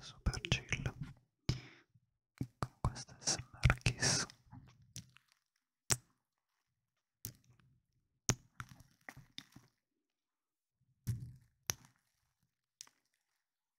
super chill con questa smr kiss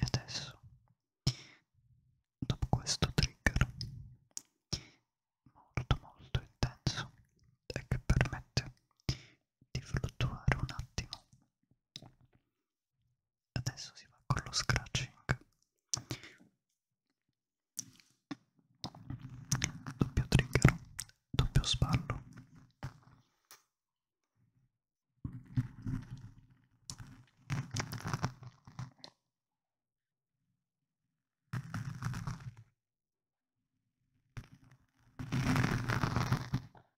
E adesso, dopo questo trigger molto molto intenso e che permette di fluttuare un attimo adesso si va con lo scratching doppio trigger doppio spallo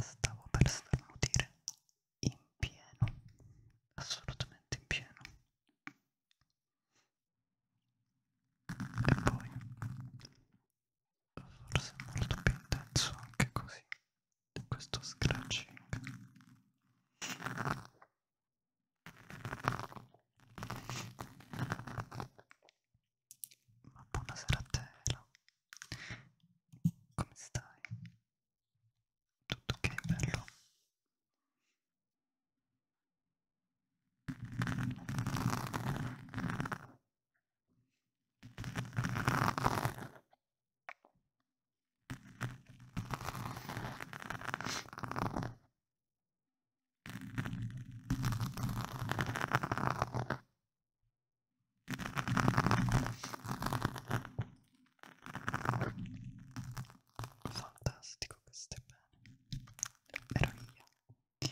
Stavo per starnutire in pieno, assolutamente in pieno. E poi, forse è molto più intenso anche così, questo scratching. Ma buonasera a te, Elo. Come stai? Tutto ok, bello? Fantastico, questo è bene. Ero io.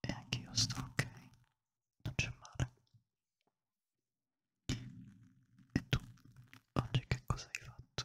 E anche io sto ok. Non c'è male. E tu, oggi che cosa hai fatto?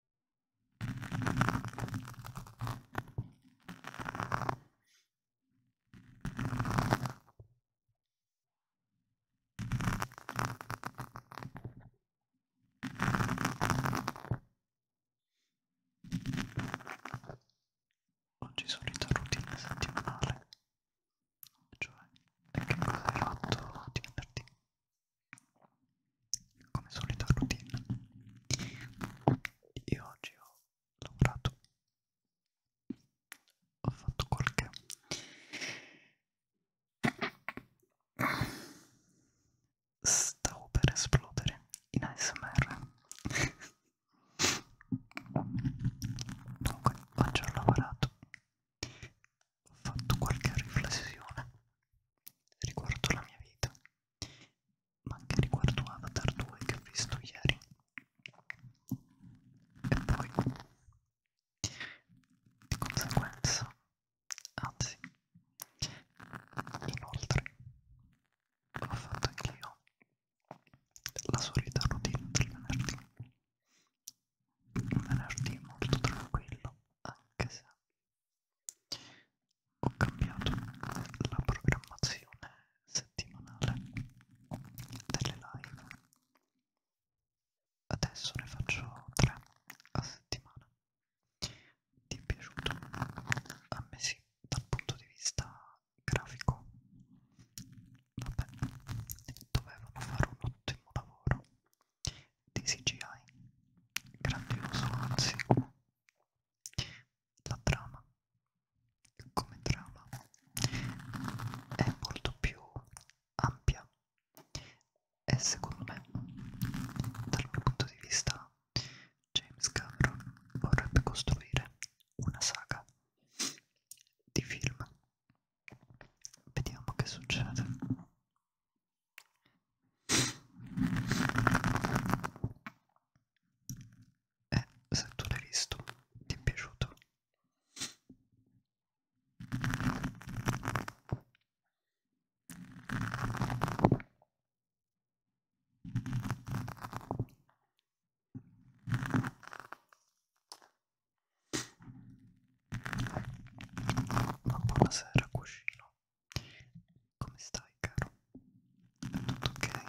Oggi solita routine settimanale, cioè è che cosa hai fatto di venerdì come solita routine io oggi ho lavorato ho fatto qualche stavo per esplodere in ASMR dunque oggi ho lavorato ho fatto qualche riflessione riguardo la mia vita, ma anche riguardo Avatar 2 che ho visto ieri. E poi, di conseguenza, anzi, inoltre, ho fatto anch'io la solita routine del venerdì. Un venerdì molto tranquillo, anche se ho cambiato la programmazione settimanale delle live adesso ne faccio tre a settimana ti è piaciuto? a me sì dal punto di vista grafico vabbè dovevano fare un ottimo lavoro di CGI, grandioso anzi la trama come trama è molto più ampia e secondo me dal mio punto di vista James Cameron vorrebbe costruire una saga di film vediamo che succede eh, se tu l'hai visto, ti è piaciuto. Ma buonasera, cuscino. Come stai, caro? È tutto ok?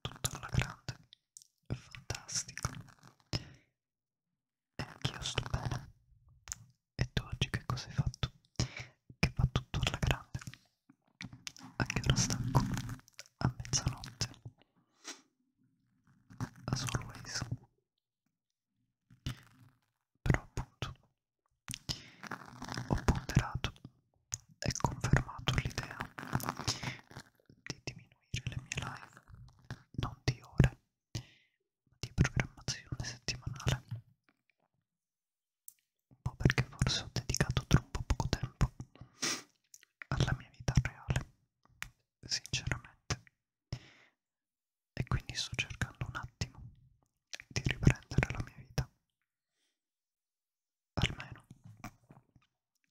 Tutto alla grande, è fantastico. E anch'io sto bene. E tu oggi che cosa hai fatto? Che va tutto alla grande. A che ora stacco? A mezzanotte. As always. Però appunto ho ponderato e confermato l'idea di diminuire le mie live non di ore ma di programmazione settimanale un po' perché forse ho dedicato troppo poco tempo alla mia vita reale, sinceramente, e quindi sto cercando un attimo di riprendere la mia vita. Almeno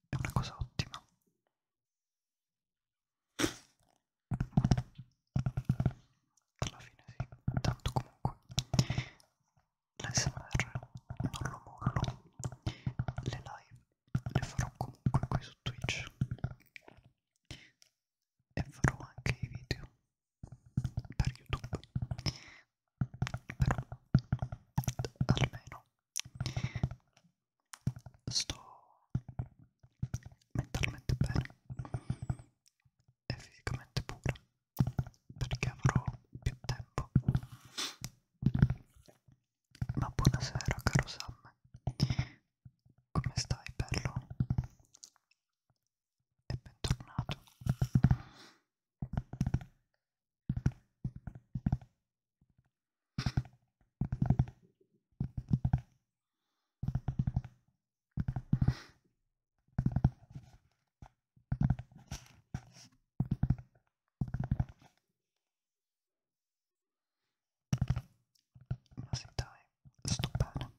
è una cosa ottima. Alla fine sì, tanto comunque l'ASMR non lo mollo, le live le farò comunque qui su Twitch e farò anche i video per YouTube, però almeno sto mentalmente bene e fisicamente pure perché avrò più tempo ma buonasera caro Sam come stai bello? e bentornato ma sì dai, sto bene.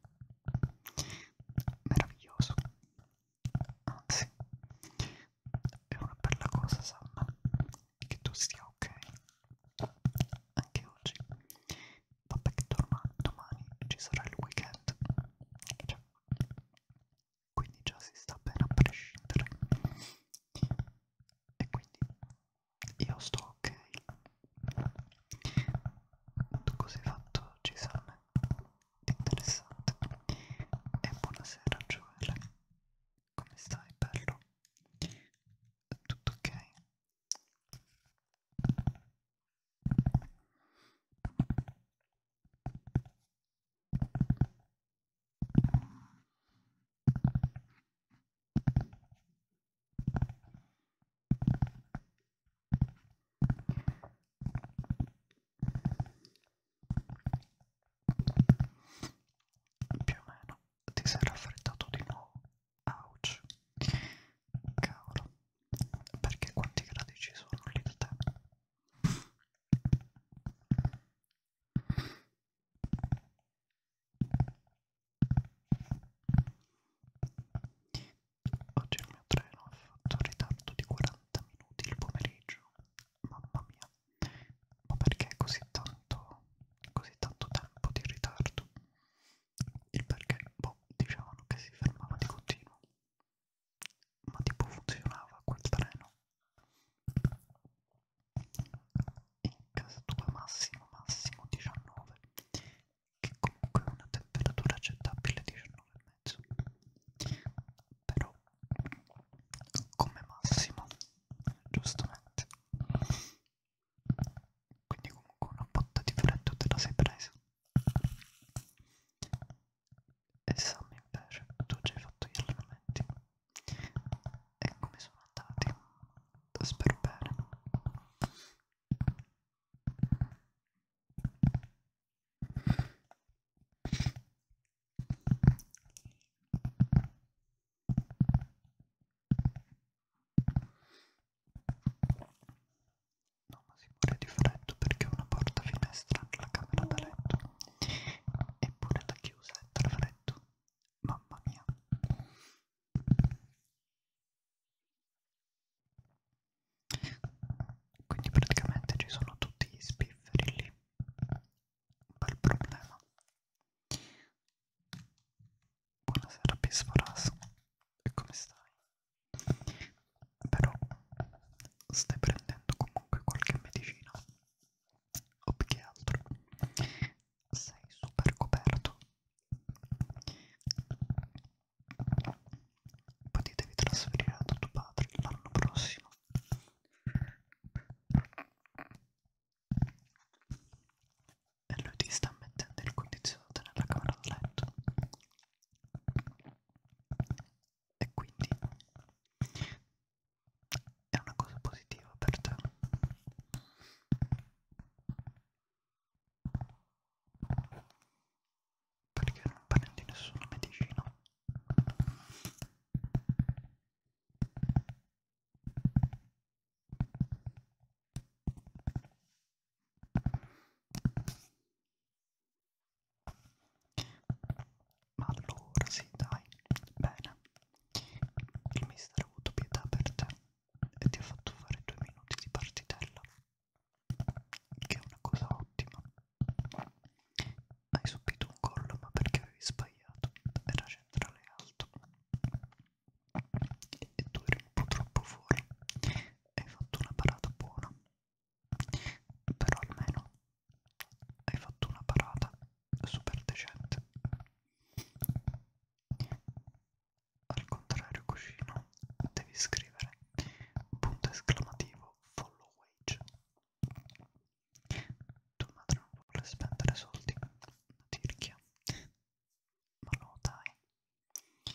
Meraviglioso. Anzi, è una bella cosa, Sanna, che tu stia ok. Anche oggi. Vabbè che domani, domani ci sarà il weekend. Cioè, quindi già si sta bene a prescindere e quindi io sto ok così fatto ci sale interessante e buonasera Joel come stai bello tutto ok più o meno ti sei raffreddato di nuovo. Ouch. Cavolo. Perché quanti gradi ci sono lì da te? Oggi il mio treno ha fatto un ritardo di 40 minuti il pomeriggio. Mamma mia, ma perché così tanto, così tanto tempo di ritardo? Il perché, boh, dicevano che si fermava di continuo ma tipo funzionava quel treno in casa tua massimo massimo 19 che comunque è una temperatura accettabile 19,5 però come massimo giustamente quindi comunque una botta di freddo te la sei presa e Sam invece tu già hai fatto gli allenamenti e come sono andati spero bene No, ma si muore di freddo perché ho una porta finestra nella camera da letto. Eppure la chiusa è tra freddo. Mamma mia. Quindi praticamente ci sono tutti gli spifferi lì. Un bel problema. Buonasera Pisforas. E come stai? però stai prendendo comunque qualche medicina o più che altro sei super coperto poi ti devi trasferire da tuo padre l'anno prossimo e lui ti sta mettendo il condizionatore nella camera da letto e quindi è una cosa positiva per te. Perché non prendi nessuna medicina. Ma allora sì, dai, bene. Il mister ha avuto pietà per te e ti ha fatto fare due minuti di partitella, che è una cosa ottima. Hai subito un gol, ma perché avevi sbagliato? Era centrale alto e tu eri un po' troppo fuori. Hai fatto una parata buona, però almeno hai fatto una parata super decente al contrario cuscino devi scrivere punto esclamativo follow wage tua madre non vuole spendere soldi una tirchia ma no dai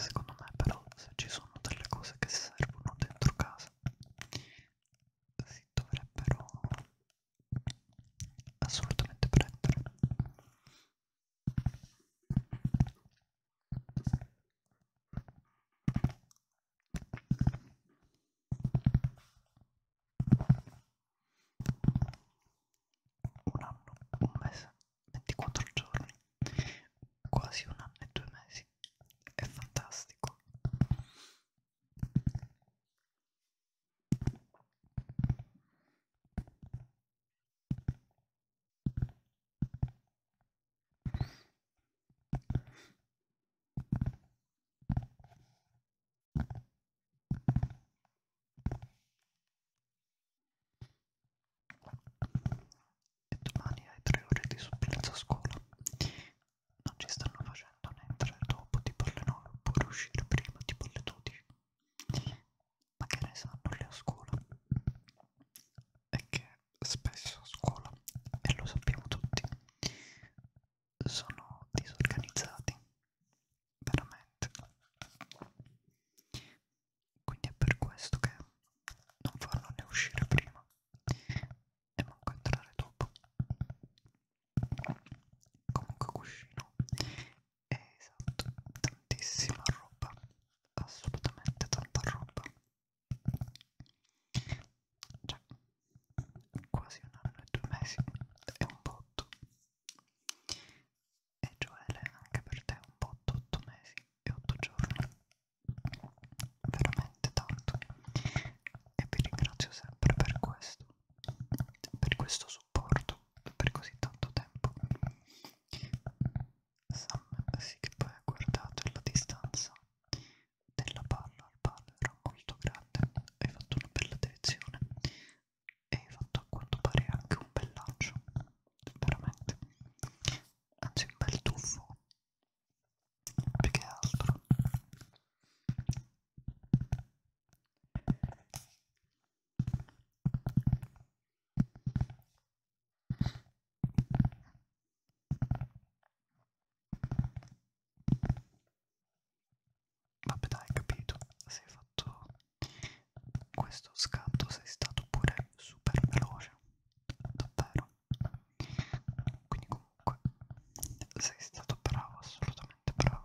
Secondo me però se ci sono delle cose che servono dentro casa si dovrebbero assolutamente prendere. Un anno, un mese 24 giorni, quasi un anno e due mesi, è fantastico. E domani hai tre ore di supplenza a scuola. Non ci stanno facendo né entrare dopo tipo alle 9 oppure uscire prima tipo alle 12. Ma che ne sanno lì a scuola? È che spesso a scuola, e lo sappiamo tutti, sono disorganizzati veramente quindi è per questo che non farlo né uscire prima e manco entrare dopo comunque cuscino è esatto tantissima roba assolutamente tanta roba cioè quasi un anno e due mesi è un botto e Joele anche per te è un botto 8 mesi e 8 giorni veramente tanto e vi ringrazio sempre per questo per questo supporto per così tanto tempo Sam sì che poi ha guardato la distanza della palla al palo era molto grande hai fatto una bella direzione e hai fatto a quanto pare anche un bel lancio veramente anzi un bel tuffo più che altro Vabbè dai, capito, se hai fatto questo scatto sei stato pure super veloce davvero quindi comunque sei stato bravo assolutamente bravo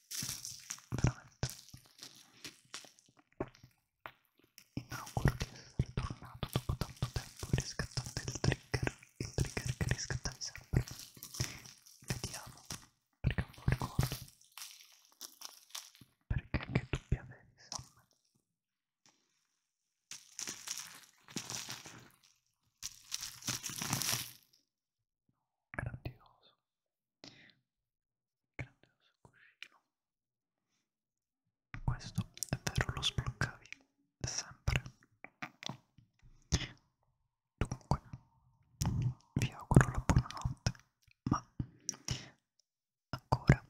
veramente inauguro di essere tornato dopo tanto tempo riscattando il trigger il trigger che riscattavi sempre vediamo perché non lo ricordo perché anche tu avevi insomma grandioso Grandioso cuscino. Questo è vero, lo sbloccavi sempre. Dunque, vi auguro la buonanotte, ma ancora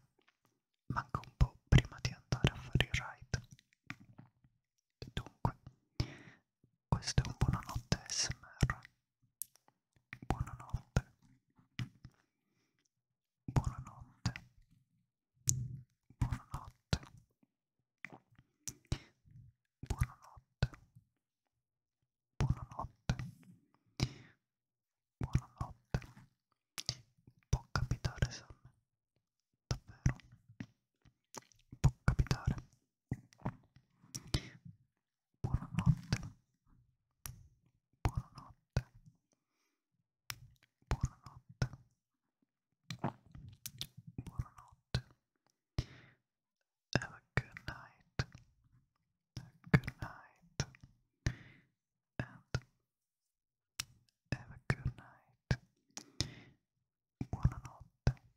manca un po' prima di andare a fare il ride. Dunque, questo è un buonanotte SMR. Buonanotte. Buonanotte. Buonanotte. Buonanotte. Buonanotte. Buonanotte. Può capitare, Sam. Davvero. Può capitare. Buonanotte. Buonanotte. Buonanotte. Buonanotte. Have a good night. good night. And have a good night. Buonanotte.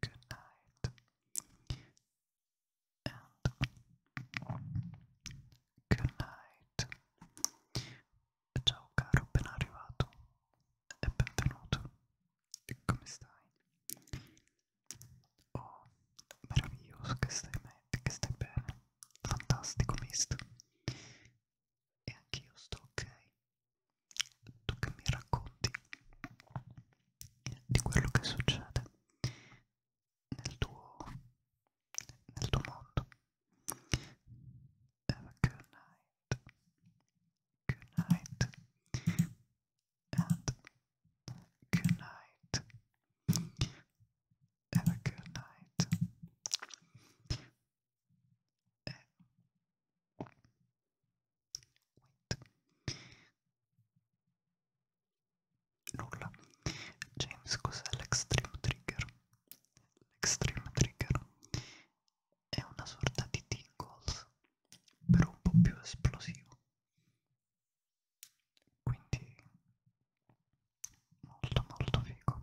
good night, good night. Ciao caro, ben arrivato e benvenuto. Come stai? Oh, meraviglioso che stai, che stai bene, fantastico mister. E anch'io sto ok. tu che mi racconti di quello che succede nel tuo, nel tuo mondo. Have a good night. Good night. And good night. Have a good night. E eh. Nulla. James, cos'è l'extreme trigger? L'extreme trigger è una sorta di tingles, però un po' più esplosivo. Quindi molto molto figo.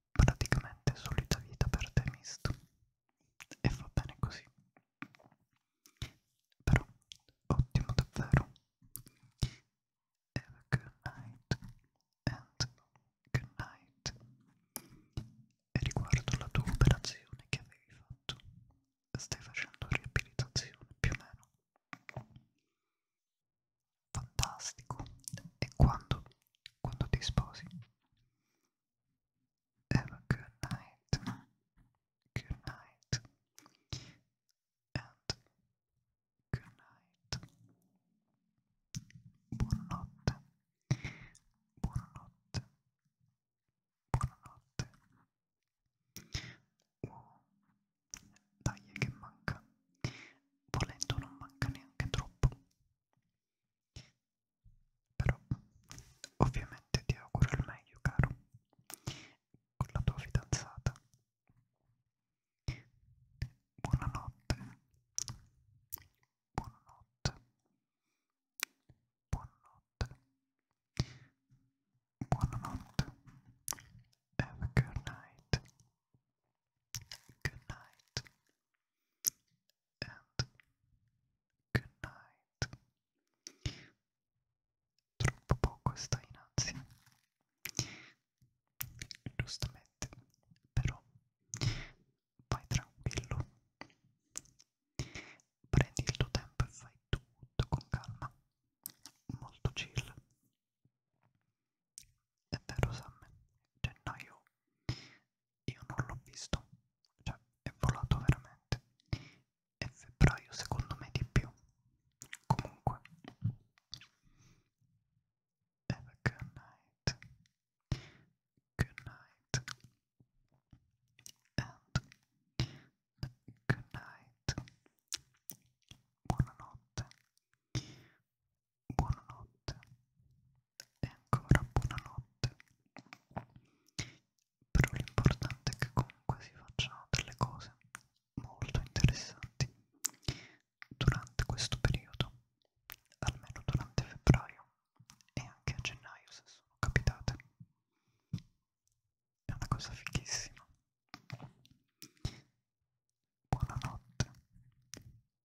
praticamente solita vita per te misto e va bene così però ottimo davvero have a good night and good night e riguardo la tua operazione che avevi fatto stai facendo riabilitazione più o meno fantastico e quando, quando ti sposi have a good night good night and good night buonanotte buonanotte buonanotte oh. dai che manca volendo non manca neanche troppo però ovviamente ti auguro il meglio caro con la tua fidanzata. Buonanotte. Buonanotte. Buonanotte. Buonanotte. Have a good night. Good night. And good night. Troppo poco sta in ansia. Giustamente, però vai tranquillo. Prendi il tuo tempo e fai tutto con calma. Molto chill. è vero Sam, gennaio cioè, io non l'ho visto, cioè è volato veramente, e febbraio secondo me di più, comunque have a good night, good night, and good night, buonanotte buonanotte e ancora buonanotte però l'importante è che comunque si facciano delle cose molto interessanti durante questo periodo almeno durante febbraio e anche a gennaio se sono capitate è una cosa fighissima buonanotte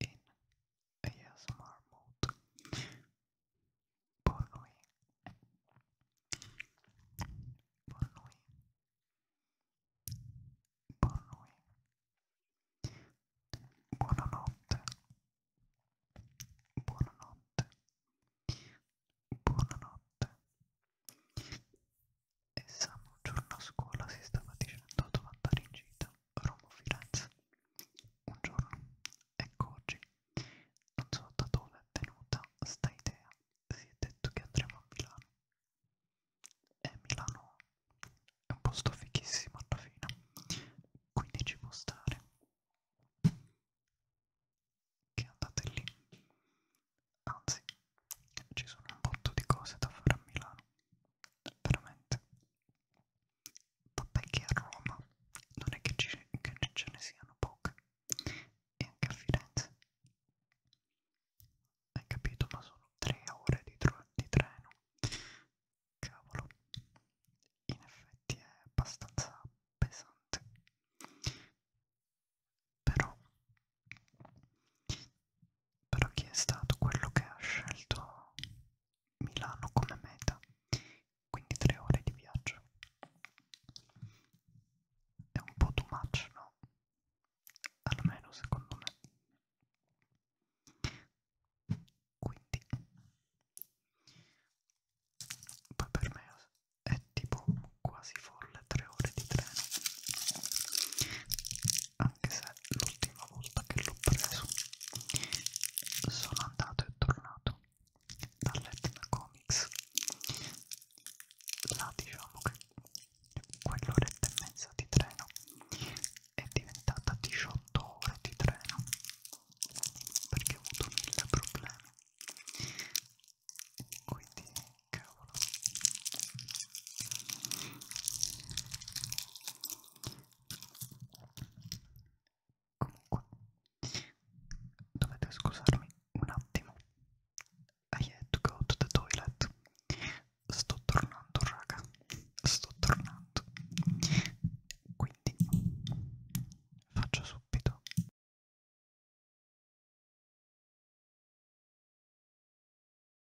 in ASMR mode buon noi buon noi buon noi buonanotte buonanotte buonanotte e Sam un giorno a scuola si stava dicendo dove andare in gita Roma Firenze un giorno, ecco oggi, non so da dove è venuta sta idea, si è detto che andremo a Milano e Milano è un posto fichissimo alla fine, quindi ci può stare che andate lì, anzi ci sono un botto di cose da fare a Milano, veramente Vabbè che a Roma non è che, ci, che ce ne siano poche, e anche a Firenze. Hai capito? Ma sono tre ore di, di treno. Cavolo, in effetti è abbastanza pesante. Però, però chi è stato quello che ha scelto Milano come meta, quindi tre ore di viaggio. È un po' too much, no? Almeno secondo me. Quindi, poi per me è tipo quasi folle tre ore di treno anche se l'ultima volta che l'ho preso sono andato e tornato dall'Etna Comics là diciamo che quell'oretta e mezza di treno è diventata 18 ore di treno perché ho avuto mille problemi quindi cavolo Comunque, dovete scusarmi un attimo. I had to go to the toilet. Sto tornando, raga. Sto tornando. Quindi, faccio subito.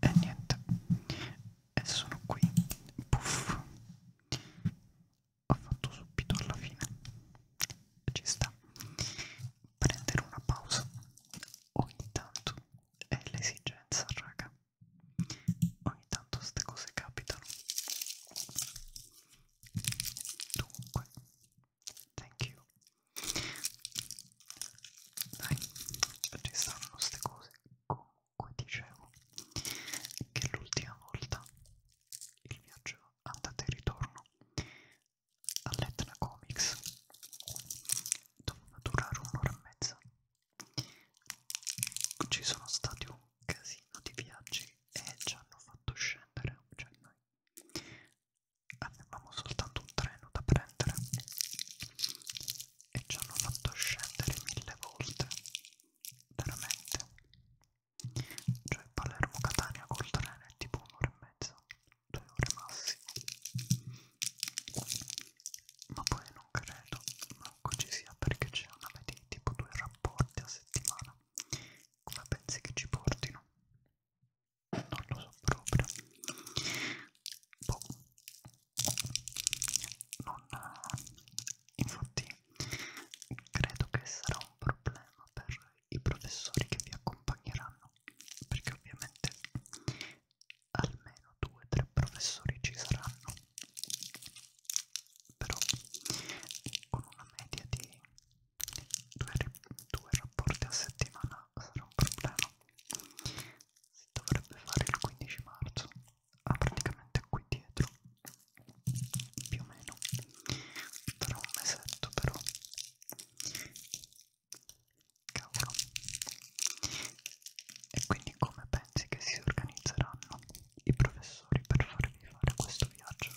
E niente, e sono qui, puff, ho fatto subito alla fine, ci sta, prendere una pausa ogni tanto è l'esigenza raga, ogni tanto queste cose capitano dunque thank you dai ci stanno queste cose comunque dicevo che l'ultima volta il viaggio andate e ritorno all'Etna Comics doveva durare un'ora e mezza ci sono stati un casino di viaggi e ci hanno fatto scendere, cioè noi avevamo soltanto un treno da prendere e ci hanno fatto scendere mille volte, veramente. Cioè Palermo-Catania col treno è tipo un'ora e mezza, due ore massimo. Ma poi non credo manco ecco ci sia perché ce ne avete tipo due rapporti a settimana come pensi che ci portino? non lo so proprio boh non infatti credo che sarà un problema per i professori che vi accompagneranno perché ovviamente almeno due o tre professori ci saranno però con una media di due, due rapporti a settimana sarà un problema si dovrebbe fare il 15 marzo ah, praticamente qui dietro più o meno tra un mesetto però Cavolo. E quindi come pensi che si organizzeranno i professori per farvi fare questo viaggio?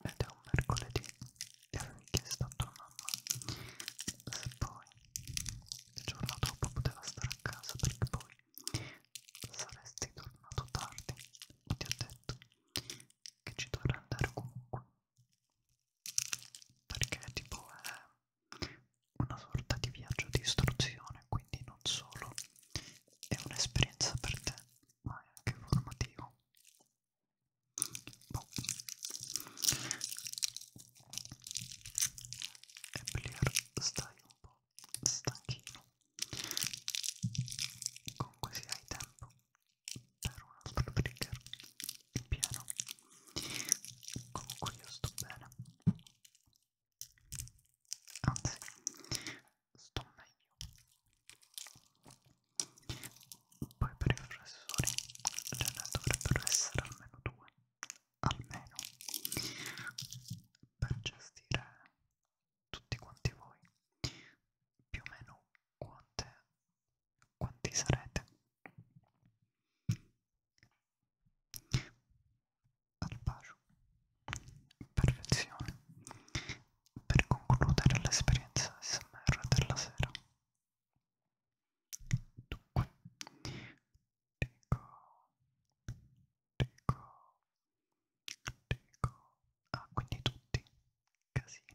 ed è un mercoledì e avevo chiesto a tua mamma se poi il giorno dopo poteva stare a casa perché poi saresti tornato tardi e ti ho detto che ci dovrà andare comunque perché tipo è una sorta di viaggio di istruzione, quindi non solo è un'esperienza per te, ma è anche formativo. Boh. E Blair stai un po' stanchino. Comunque se hai tempo per un altro trigger in pieno comunque io sto bene anzi sto meglio poi per i professori ce cioè, ne dovrebbero essere almeno due almeno per gestire tutti quanti voi più o meno quante quanti sarete al bacio perfezione per concludere l'esperienza smr della sera dunque dico dico dico ah quindi tutti casino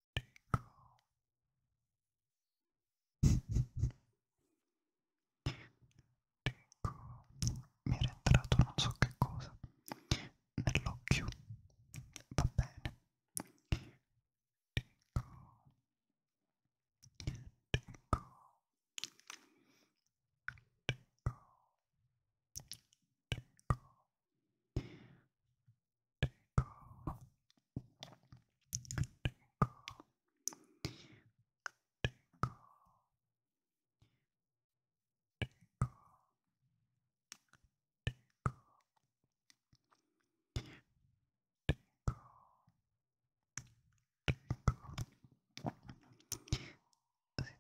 dico dico mi era entrato non so che cosa nell'occhio va bene dico dico dico dico si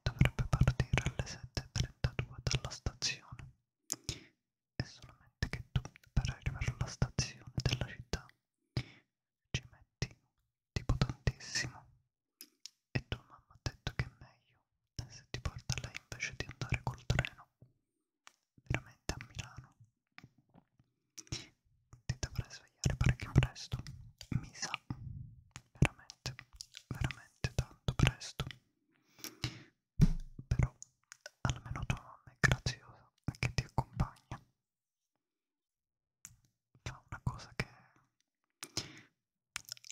dovrebbe partire alle 7.32 dalla stazione è solamente che tu per arrivare alla stazione della città ci metti tipo tantissimo e tua mamma ha detto che è meglio se ti porta lei invece di andare col treno veramente a Milano ti dovrai svegliare parecchio presto mi sa veramente veramente tanto presto però almeno tua nonna è graziosa che ti accompagna fa una cosa che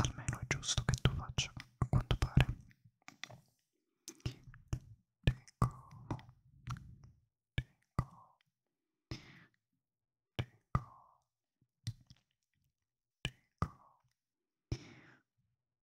almeno è giusto che tu faccia a quanto pare Dico, dico, dico, dico,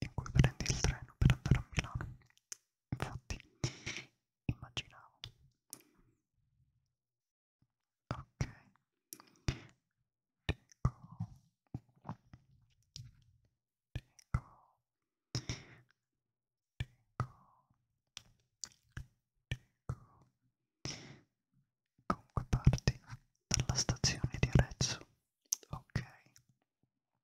in cui prendi il treno per andare a Milano. Infatti, immaginavo. Ok. Dico. Dico. Dico. Dico. Comunque parti dalla stazione di Arezzo. Ok.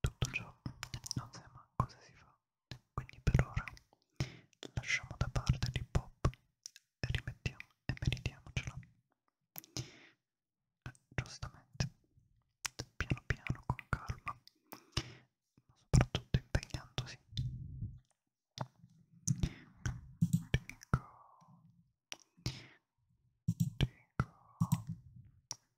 tutto ciò non sa mai cosa si fa, quindi per ora lasciamo da parte l'hip hop e rimettiamo e meritiamocelo. Eh, giustamente, piano piano, con calma, ma soprattutto impegnandosi. Dico, dico,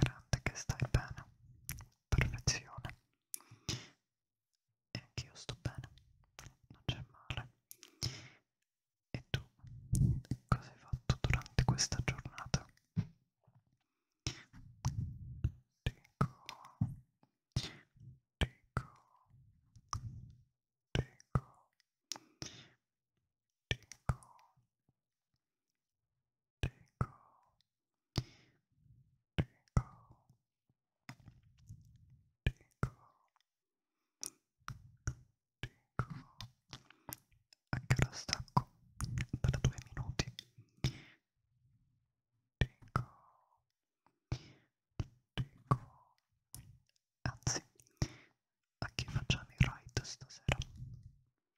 grande che stai bene, perfezione. E anch'io sto bene, non c'è male. E tu cosa hai fatto durante questa giornata? Dico, dico, dico, dico. Tico, tico, tico, tico. A che ora stacco? Da due minuti. Tico, tico. Anzi, a chi facciamo il ride stasera?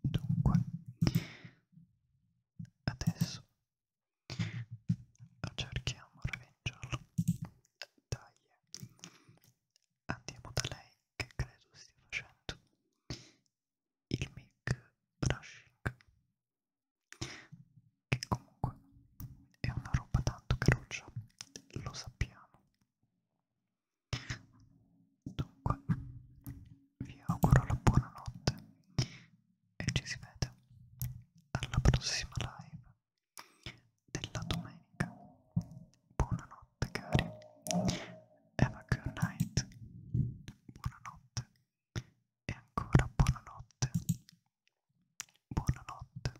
dunque adesso lo cerchiamo ravengiolo dai andiamo da lei che credo stia facendo il mic brushing che comunque è una roba tanto caruccia lo sappiamo Dunque, vi auguro la buonanotte e ci si vede alla prossima live della domenica. Buonanotte cari. Have a good night. Buonanotte. E ancora buonanotte. Buonanotte.